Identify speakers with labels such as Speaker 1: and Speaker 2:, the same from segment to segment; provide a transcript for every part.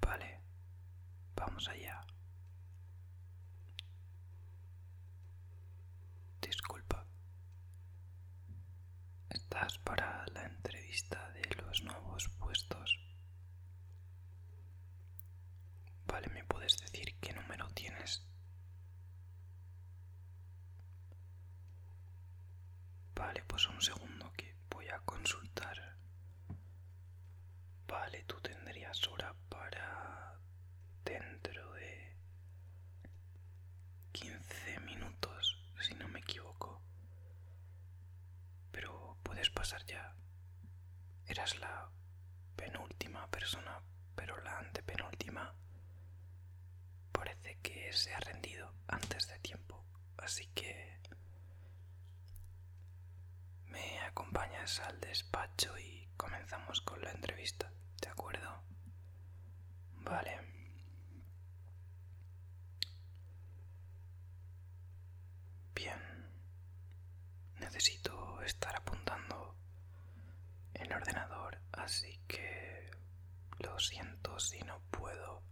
Speaker 1: Vale, vamos allá. Disculpa. ¿Estás para la entrevista de los nuevos puestos? Vale, ¿me puedes decir qué número tienes? Vale, pues un segundo que voy a consultar. Vale, tú tendrías hora para dentro de 15 minutos, si no me equivoco. Pero puedes pasar ya. Eras la penúltima persona, pero la antepenúltima parece que se ha rendido antes de tiempo así que me acompañas al despacho y comenzamos con la entrevista, ¿de acuerdo? Vale. Bien. Necesito estar apuntando el ordenador, así que lo siento si no puedo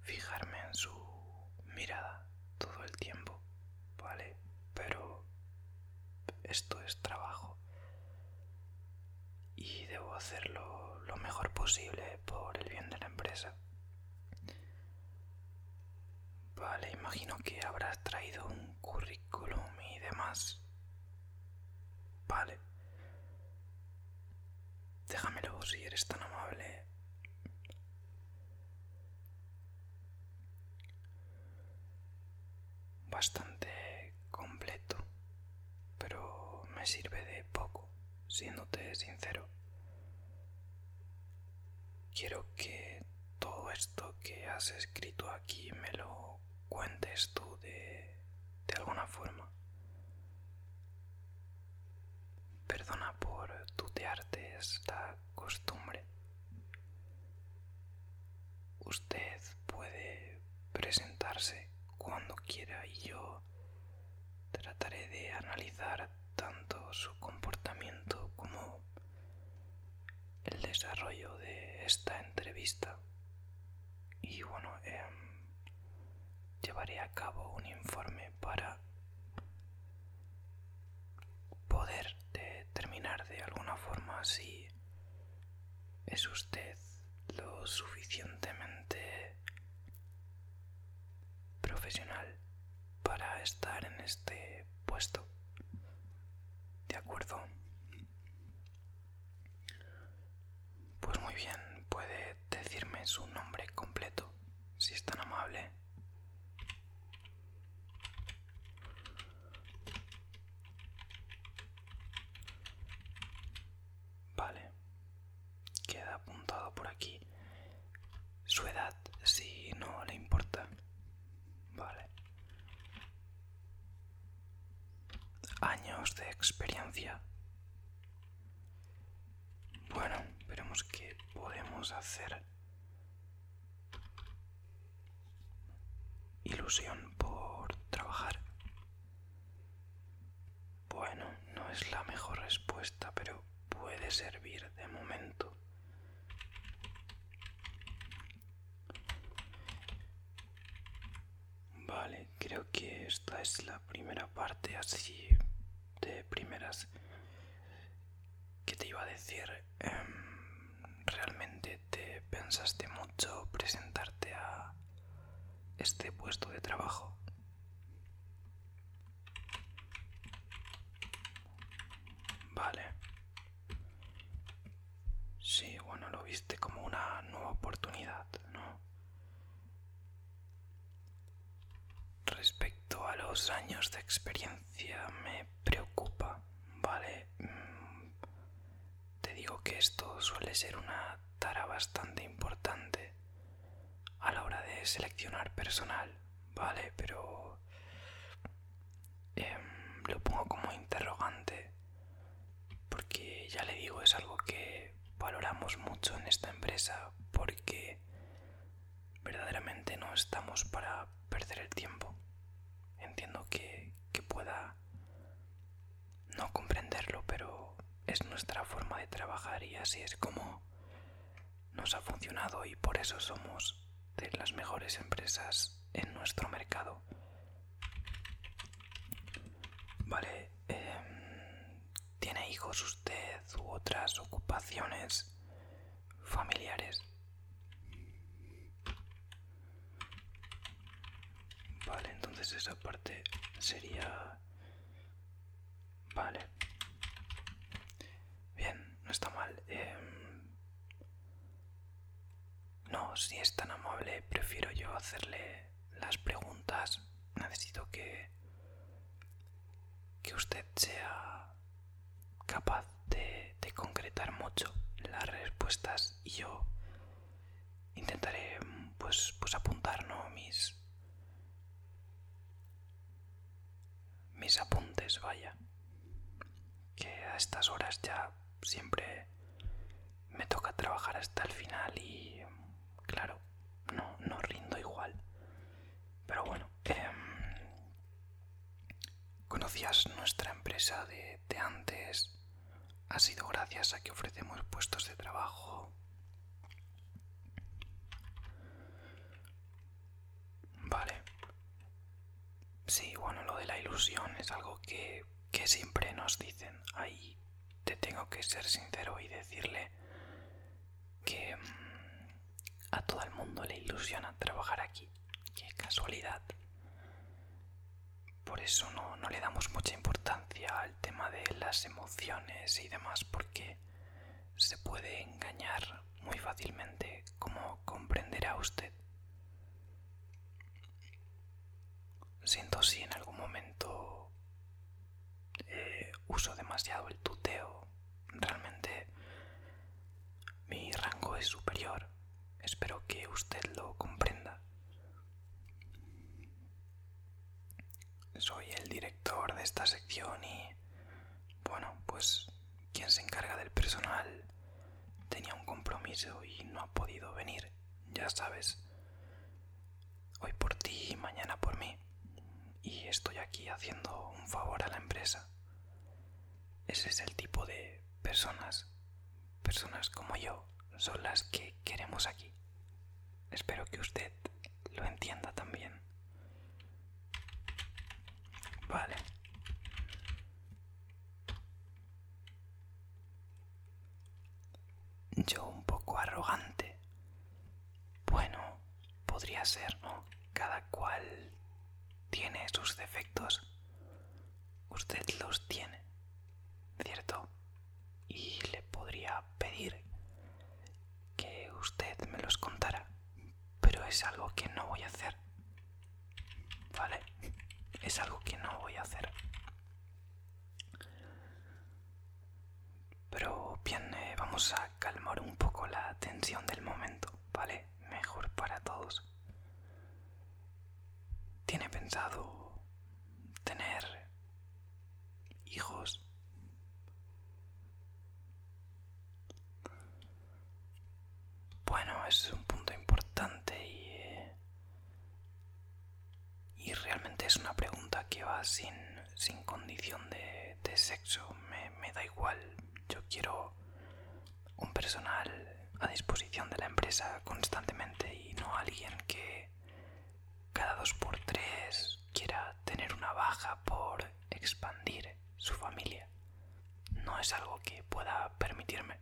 Speaker 1: fijarme en su mirada todo el tiempo, ¿vale? Pero esto es trabajo y debo hacerlo lo mejor posible por el bien de la empresa. Vale, imagino que habrás traído un currículum y demás. Vale. Déjamelo si eres tan amable bastante completo, pero me sirve de poco, siéndote sincero. Quiero que todo esto que has escrito aquí me lo cuentes tú de, de alguna forma. Perdona por tutearte esta costumbre. Usted puede presentarse cuando quiera y yo trataré de analizar tanto su comportamiento como el desarrollo de esta entrevista. Y bueno, em, llevaré a cabo un informe para poder determinar de alguna forma si es usted lo suficientemente profesional para estar en este puesto. ¿De acuerdo? Pues muy bien, puede decirme su nombre completo si es tan amable. Vale, queda apuntado por aquí su edad, si no le importa. Vale. Años de experiencia. Bueno, veremos qué podemos hacer. Ilusión por trabajar. Bueno, no es la mejor respuesta, pero puede servir de momento. Vale, creo que esta es la primera parte, así de primeras que te iba a decir em, realmente te pensaste mucho presentarte a este puesto de trabajo vale sí bueno lo viste como una nueva oportunidad no Respecto a los años de experiencia me preocupa, ¿vale? Mm, te digo que esto suele ser una tara bastante importante a la hora de seleccionar personal, ¿vale? Pero em, lo pongo como interrogante porque ya le digo es algo que valoramos mucho en esta empresa porque verdaderamente no estamos para perder el tiempo. Entiendo que, pueda no comprenderlo, pero es nuestra forma de trabajar y así es como nos ha funcionado y por eso somos de las mejores empresas en nuestro mercado. Vale, em, ¿Tiene hijos usted u otras ocupaciones familiares? Vale, entonces esa parte sería... Vale. Bien, no está mal. Em, no, si es tan amable, prefiero yo hacerle las preguntas. Necesito que que usted sea capaz de, concretar mucho las respuestas y yo intentaré pues, pues apuntar mis, mis apuntes, vaya. Que a estas horas ya siempre me toca trabajar hasta el final y claro, no, no rindo igual. Pero bueno, em, ¿conocías nuestra empresa de, antes? Ha sido gracias a que ofrecemos puestos de trabajo. Vale. Sí, bueno, lo de la ilusión es algo que siempre nos dicen. Ahí te tengo que ser sincero y decirle que, em, a todo el mundo le ilusiona trabajar aquí. Qué casualidad. Por eso no, le damos mucha importancia al tema de las emociones y demás, porque se puede engañar muy fácilmente, como comprenderá usted. Siento si en algún momento eh, uso demasiado el tuteo, realmente mi rango es superior, espero que usted lo comprenda. Soy el director de esta sección y, bueno, pues quien se encarga del personal tenía un compromiso y no ha podido venir, ya sabes. Hoy por ti y mañana por mí y estoy aquí haciendo un favor a la empresa. Ese es el tipo de personas, personas como yo, son las que queremos aquí. Espero que usted lo entienda también. Vale. Yo un poco arrogante. Bueno, podría ser, ¿no? Cada cual tiene sus defectos. Usted los tiene, ¿cierto? Y le podría pedir que usted me los contara, pero es algo que no voy a hacer. ¿Vale? Es algo que no voy a hacer. Pero bien, eh, vamos a calmar un poco la tensión del momento, ¿vale? Mejor para todos. ¿Tiene pensado tener hijos? Bueno, es un punto importante y, eh, y realmente es una pregunta que va sin sin condición de, sexo, me, me da igual. Yo quiero un personal a disposición de la empresa constantemente y no alguien que cada dos por tres quiera tener una baja por expandir su familia. No es algo que pueda permitirme.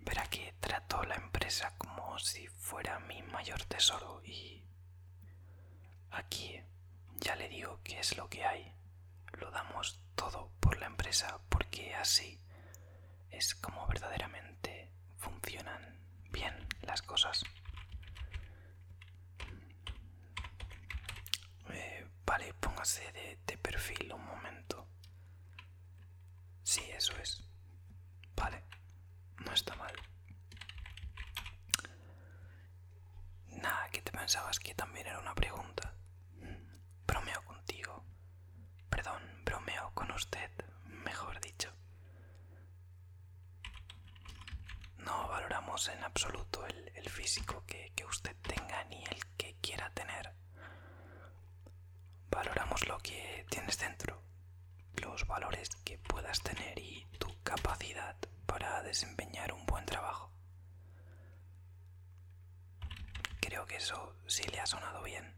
Speaker 1: Verá que trato la empresa como si fuera mi mayor tesoro y... Aquí ya le digo que es lo que hay. Lo damos todo por la empresa porque así es como verdaderamente funcionan bien las cosas. Eh, vale, póngase de perfil un momento. Sí, eso es. Vale, no está mal. Nada, que te pensabas que también era una pregunta. Bromeo contigo. Perdón, bromeo con usted, mejor dicho. No valoramos en absoluto el, físico que usted tenga ni el que quiera tener. Valoramos lo que tienes dentro, los valores que puedas tener y tu capacidad para desempeñar un buen trabajo. Creo que eso sí le ha sonado bien.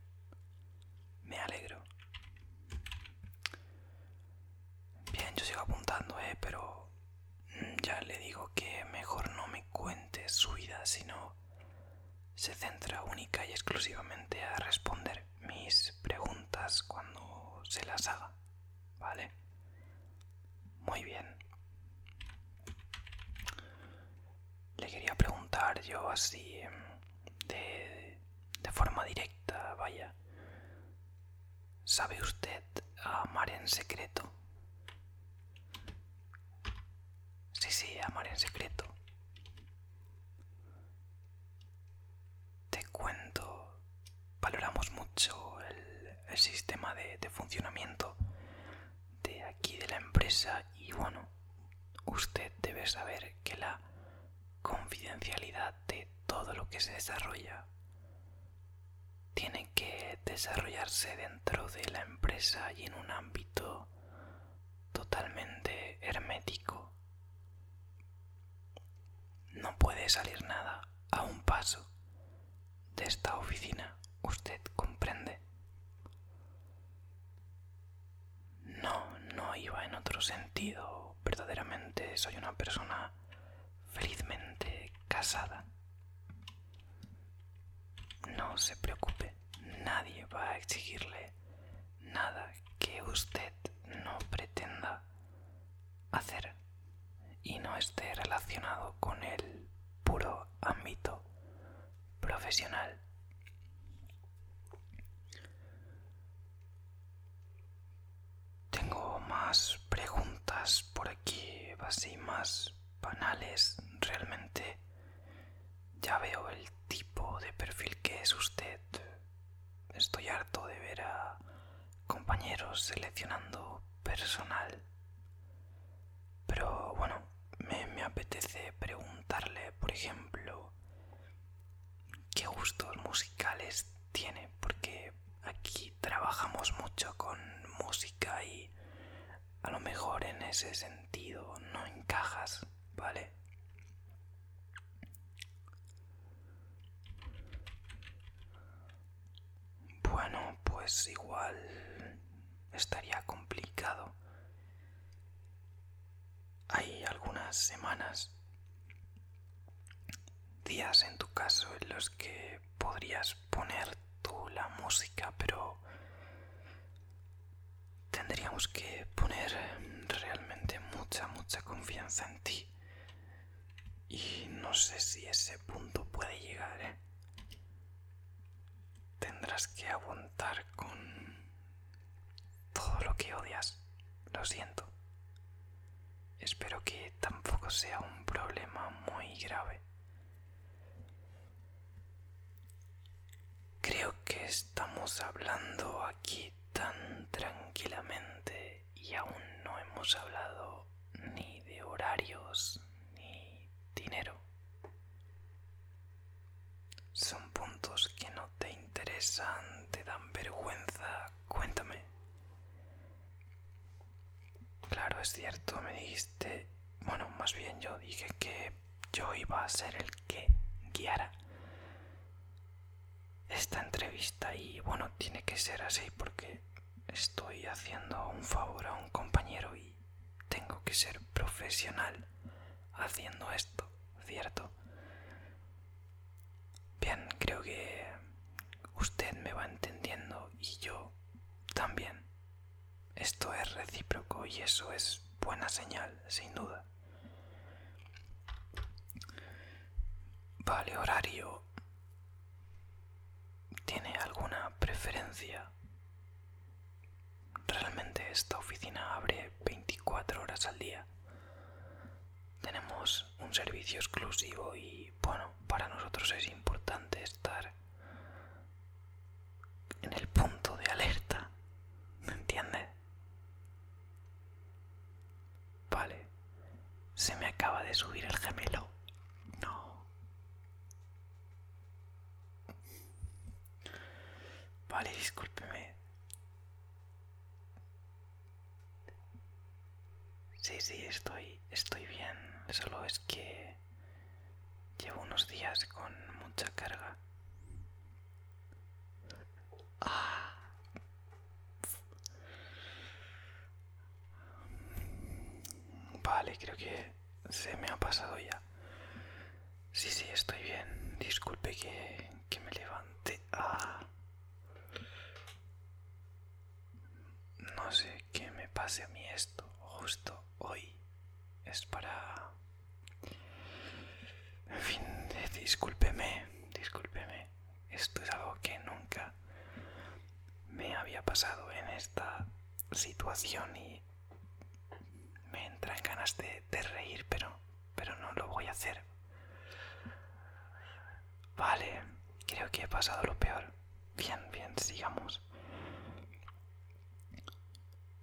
Speaker 1: Me alegro. Bien, yo sigo apuntando, ¿eh? pero mm, ya le digo que mejor no me cuente su vida, sino se centra única y exclusivamente a responder mis preguntas cuando se las haga, ¿vale? Muy bien. Le quería preguntar yo así em, de, de forma directa, vaya. ¿Sabe usted amar en secreto? Sí, sí, amar en secreto te cuento, valoramos mucho el, sistema de funcionamiento de aquí de la empresa y bueno, usted debe saber que la confidencialidad de todo lo que se desarrolla tiene que desarrollarse dentro de la empresa y en un ámbito totalmente hermético no puede salir nada a un paso de esta oficina, usted comprende. No, no iba en otro sentido. Verdaderamente soy una persona felizmente casada. No se preocupe, nadie va a exigirle nada que usted no pretenda hacer y no esté relacionado con el puro ámbito profesional. Tengo más preguntas por aquí, así más banales. Realmente ya veo el tipo de perfil que es usted. Estoy harto de ver a compañeros seleccionando personal. Pero bueno, me, apetece preguntarle, por ejemplo, qué gustos musicales tiene, porque aquí trabajamos mucho con música y a lo mejor en ese sentido no encajas. ¿vale? Bueno, pues igual estaría complicado. Hay algunas semanas, días en tu caso, en los que podrías poner tú la música, pero tendríamos que poner realmente mucha, mucha confianza en ti. Y no sé si ese punto puede llegar, ¿eh? Tendrás que aguantar con todo lo que odias. Lo siento. Espero que tampoco sea un problema muy grave. Creo que estamos hablando aquí tan tranquilamente y aún no hemos hablado ni de horarios ni dinero. Son puntos que no te interesan, te dan vergüenza. Cuéntame. Claro, es cierto, me dijiste, bueno, más bien yo dije que yo iba a ser el que guiara esta entrevista y bueno, tiene que ser así porque estoy haciendo un favor a un compañero y tengo que ser profesional haciendo esto, ¿cierto? Bien, creo que usted me va entendiendo y yo también. Esto es recíproco y eso es buena señal, sin duda. Vale, horario. ¿Tiene alguna preferencia? Realmente esta oficina abre 24 horas al día. Tenemos un servicio exclusivo y bueno, para nosotros es importante estar en el punto de alerta. ¿Me entiendes? Vale. Se me acaba de subir el gemelo. No. Vale, discúlpeme. Sí, sí, estoy, estoy bien. Solo es que llevo unos días con mucha carga. Ah. Vale, creo que se me ha pasado ya. Sí, sí, estoy bien. Disculpe que, me levante. Ah. No sé qué me pase a mí esto justo hoy. Es para... En fin, discúlpeme, discúlpeme. Esto es algo que nunca me había pasado en esta situación y me entra en ganas de, reír, pero, pero no lo voy a hacer. Vale, creo que he pasado lo peor. Bien, bien, sigamos.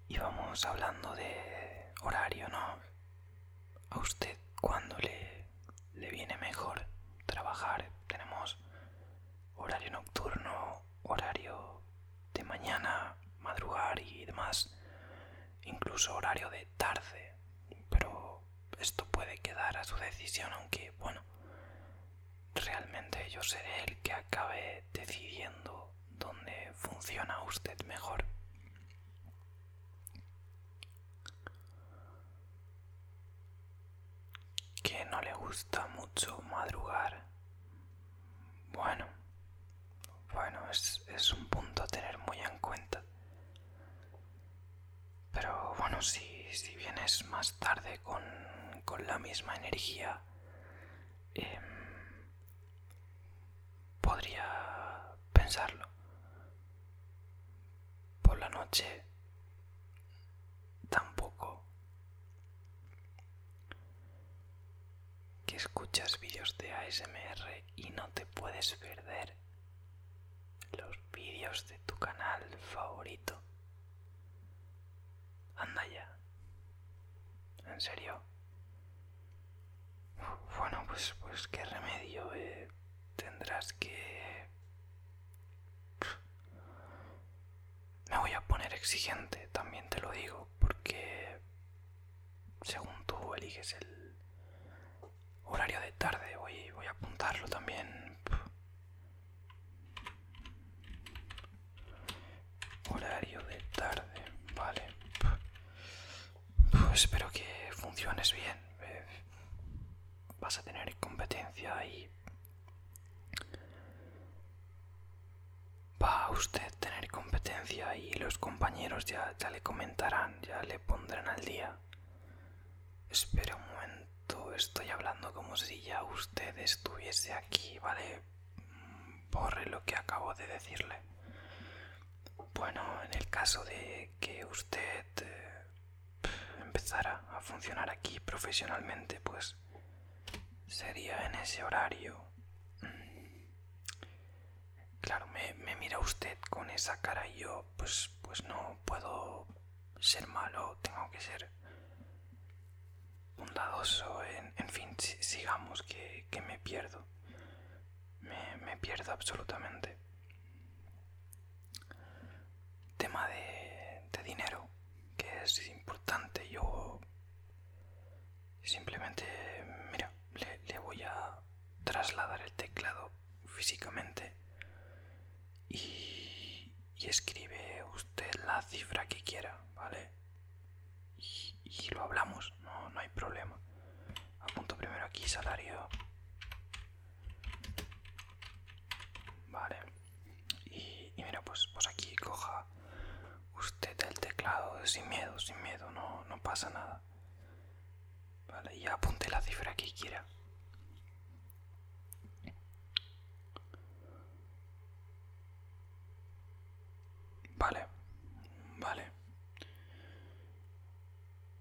Speaker 1: Y vamos hablando de horario, ¿no? a usted cuando le, viene mejor trabajar. Tenemos horario nocturno, horario de mañana, madrugar y demás, incluso horario de tarde, pero esto puede quedar a su decisión, aunque bueno, realmente yo seré el que acabe decidiendo dónde funciona usted mejor que no le gusta mucho madrugar. Bueno, bueno, es, un punto a tener muy en cuenta. Pero bueno, si, si vienes más tarde con, con la misma energía, em, podría pensarlo. Por la noche tampoco. Que escuchas vídeos de ASMR y no te puedes perder los vídeos de tu canal favorito. Anda ya. En serio. Bueno, pues, pues qué remedio. Eh? Tendrás que... Me voy a poner exigente, también te lo digo, porque según tú eliges el horario de tarde, voy a apuntarlo también. Horario de tarde, vale. Pues espero que funciones bien. Eh, vas a tener competencia y... Va a usted tener competencia y los compañeros ya, le comentarán, ya le pondrán al día. Espera un momento, estoy hablando como si ya usted estuviese aquí, ¿vale? Borre lo que acabo de decirle. Bueno, en el caso de que usted empezar este, empezara a funcionar aquí profesionalmente, pues sería en ese horario. Mm. Claro, me, mira usted con esa cara y yo, pues, pues no puedo ser malo, tengo que ser bondadoso, en, fin, sigamos que, me pierdo, me pierdo absolutamente. Tema de, dinero, que es importante. Yo simplemente, mira, le, voy a trasladar el teclado físicamente y, escribe usted la cifra que quiera, ¿vale? Y, lo hablamos, no, no hay problema. Apunto primero aquí salario Vale. Y, mira, pues, pues aquí coja usted el teclado sin miedo, sin miedo, no, no pasa nada. Vale, y apunte la cifra que quiera. Vale, vale.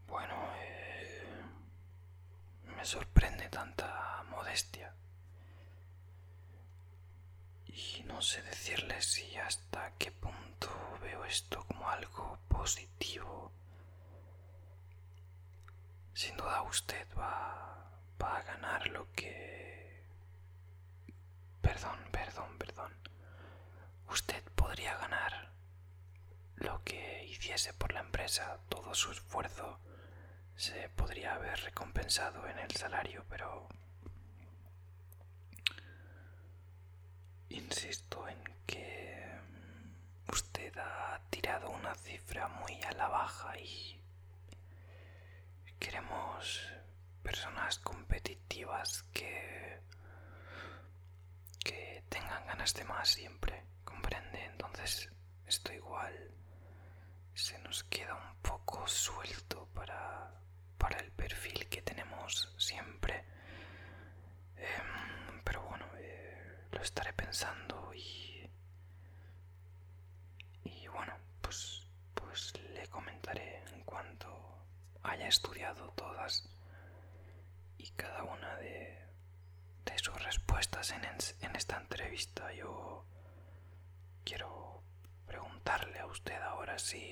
Speaker 1: Bueno, eh, me sorprende tanta modestia. Y no sé decirles si hasta qué punto veo esto como algo positivo. Sin duda usted va a ganar lo que... Perdón, perdón, perdón usted podría ganar lo que hiciese por la empresa, todo su esfuerzo se podría haber recompensado en el salario, pero insisto en que usted ha tirado una cifra muy a la baja y queremos personas competitivas que que tengan ganas de más siempre, comprende. Entonces, esto igual se nos queda un poco suelto para, el perfil que tenemos siempre. Em, pero bueno, eh, lo estaré pensando y. Y bueno, pues, pues le comentaré en cuanto haya estudiado todas y cada una de, de sus respuestas en, esta entrevista. Yo quiero preguntarle a usted ahora si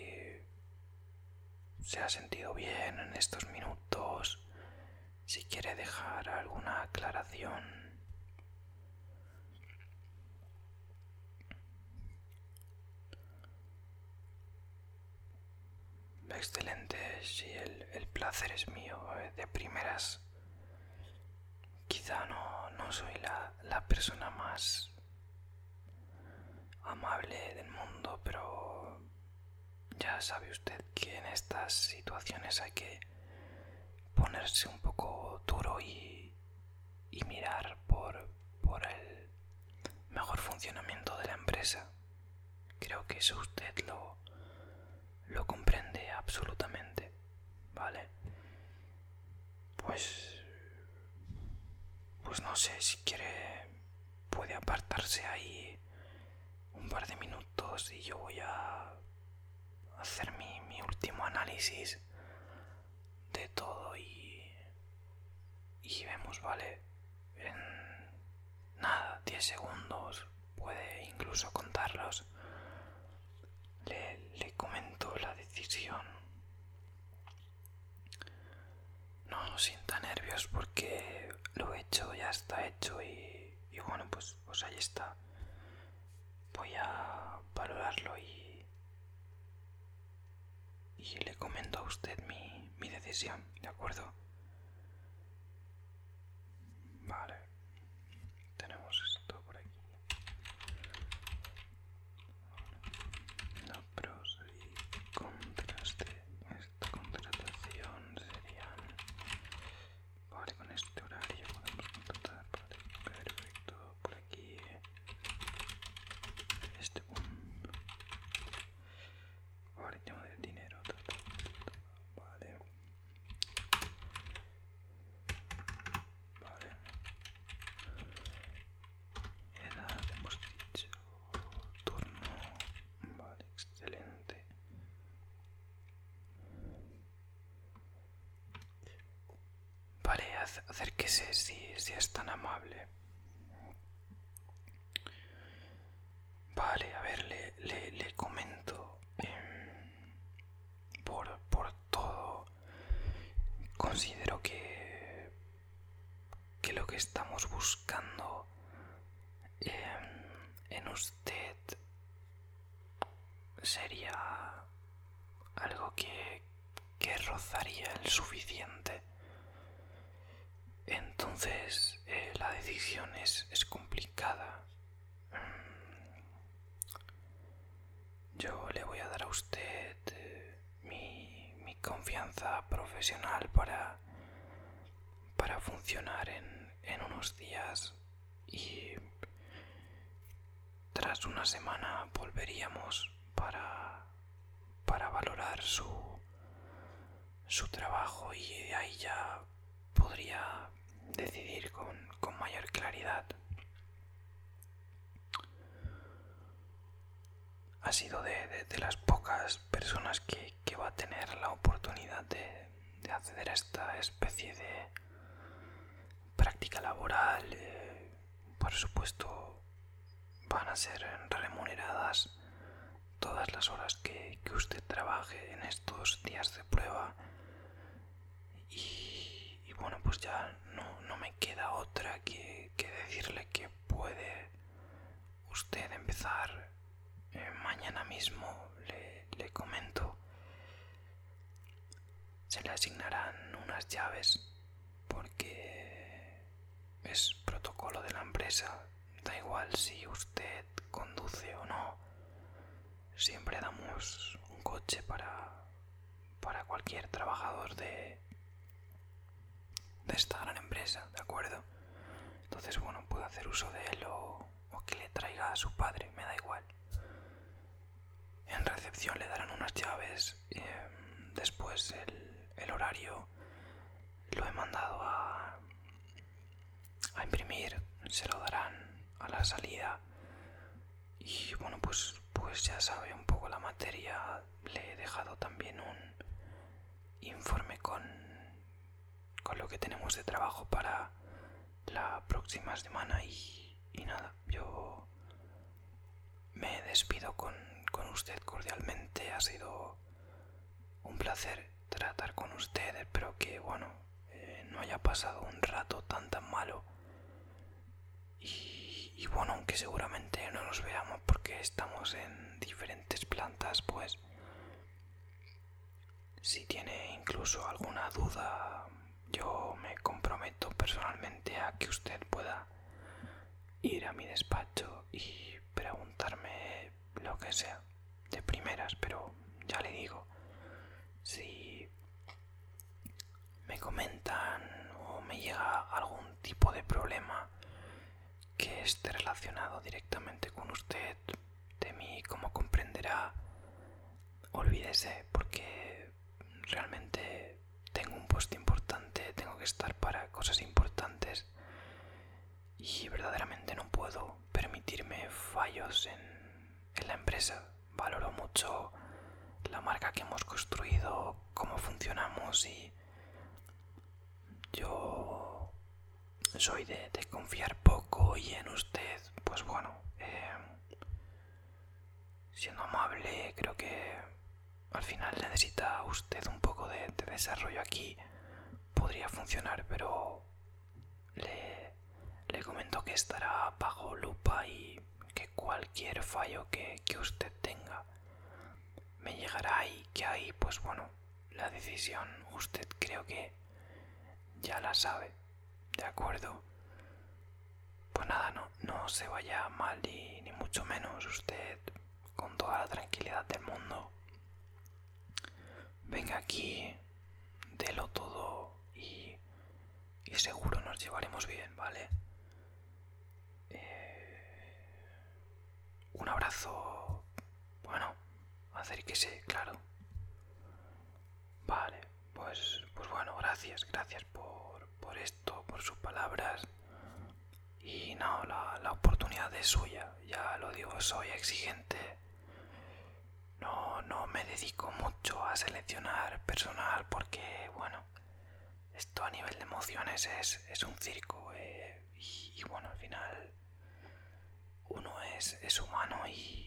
Speaker 1: se ha sentido bien en estos minutos, si quiere dejar alguna aclaración. Excelente, sí, el, placer es mío. Eh, de primeras, quizá no, soy la, persona más amable del mundo, pero ya sabe usted que en estas situaciones hay que ponerse un poco duro y, mirar por el mejor funcionamiento de la empresa. Creo que eso usted lo, lo comprende absolutamente, ¿vale? Pues... Pues no sé, si quiere puede apartarse ahí un par de minutos y yo voy a hacer mi, mi último análisis de todo y... Y vemos, ¿vale? en nada, 10 segundos, puede incluso contarlos. Le, comento la decisión. No sienta nervios porque lo he hecho, ya está hecho y, bueno, pues, pues ahí está. Voy a valorarlo y, y le comento a usted mi, mi decisión, ¿de acuerdo? Vale, tenemos esto por aquí. La pros y contras esta contratación serían... Vale, con este horario podemos contratar. perfecto. Por aquí. Este punto. Vale, tema del dinero. Vale. Vale. Era, hemos dicho, turno. Vale, excelente. Vale, acérquese si, si es tan amable. Vale, a ver, le, le, comento em, por, todo. Considero que, lo que estamos buscando em, en usted sería algo que rozaría el suficiente entonces eh, la decisión es, complicada. Mm, yo le voy a dar a usted eh, mi, confianza profesional para, para funcionar en, unos días y tras una semana volveríamos para, para valorar su, su trabajo y ahí ya podría decidir con, mayor claridad. Ha sido de, las pocas personas que, va a tener la oportunidad de, acceder a esta especie de práctica laboral. Eh, por supuesto, van a ser remuneradas todas las horas que, usted trabaje en estos días de prueba. Y, bueno, pues ya no, me queda otra que, decirle que puede usted empezar eh, mañana mismo, le, le comento. Se le asignarán unas llaves porque es protocolo de la empresa Da igual si usted conduce o no. Siempre damos un coche para, para cualquier trabajador de, de esta gran empresa, ¿de acuerdo? Entonces, bueno, puedo hacer uso de él o, que le traiga a su padre, me da igual. En recepción le darán unas llaves. Em, después el, horario lo he mandado a, a imprimir se lo darán a la salida y bueno pues pues ya sabe un poco la materia le he dejado también un informe con con lo que tenemos de trabajo para la próxima semana y, nada yo me despido con, con usted cordialmente ha sido un placer tratar con ustedes. Espero que, bueno, eh, no haya pasado un rato tan tan malo. Y, y bueno, aunque seguramente no nos veamos porque estamos en diferentes plantas, pues
Speaker 2: si tiene incluso alguna duda, yo me comprometo personalmente a que
Speaker 1: usted pueda ir a mi despacho y preguntarme lo que sea, de primeras, pero ya le digo, si me comentan o me llega algún tipo de problema que esté relacionado directamente con usted, de mí, como comprenderá, olvídese porque realmente tengo un puesto importante, tengo que estar para cosas importantes y verdaderamente no puedo permitirme fallos en, la empresa. Valoro mucho la marca que hemos construido, cómo funcionamos y yo soy de, confiar poco y en usted, pues bueno, em, siendo amable, creo que al final necesita usted un poco de desarrollo aquí, podría funcionar, pero le, comento que estará bajo lupa y que cualquier fallo que, usted tenga me llegará y que ahí pues bueno la decisión usted creo que ya la sabe de acuerdo pues nada no, no se vaya mal y, ni mucho menos usted con toda la tranquilidad del mundo venga aquí de lo todo y, seguro nos llevaremos bien, ¿vale? Eh, un abrazo, bueno, se, claro. Vale, pues, pues bueno, gracias, gracias por, por esto, por sus palabras. Y no, la oportunidad es suya, ya lo digo, soy exigente no, me dedico mucho a seleccionar personal porque, bueno, esto a nivel de emociones es, un circo eh, y, bueno, al final uno es, humano y,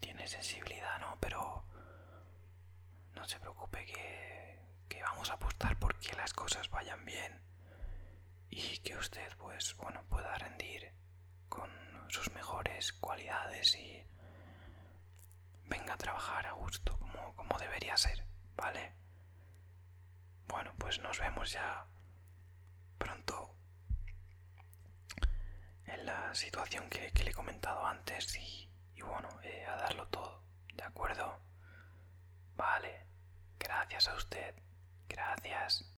Speaker 1: tiene sensibilidad, ¿no? Pero no se preocupe que, vamos a apostar porque las cosas vayan bien y que usted, pues, bueno, pueda rendir con sus mejores cualidades y venga a trabajar a gusto como, debería ser, ¿vale? Bueno, pues nos vemos ya pronto en la situación que, le he comentado antes y, bueno, eh, a darlo todo, ¿de acuerdo? Vale, gracias a usted, gracias.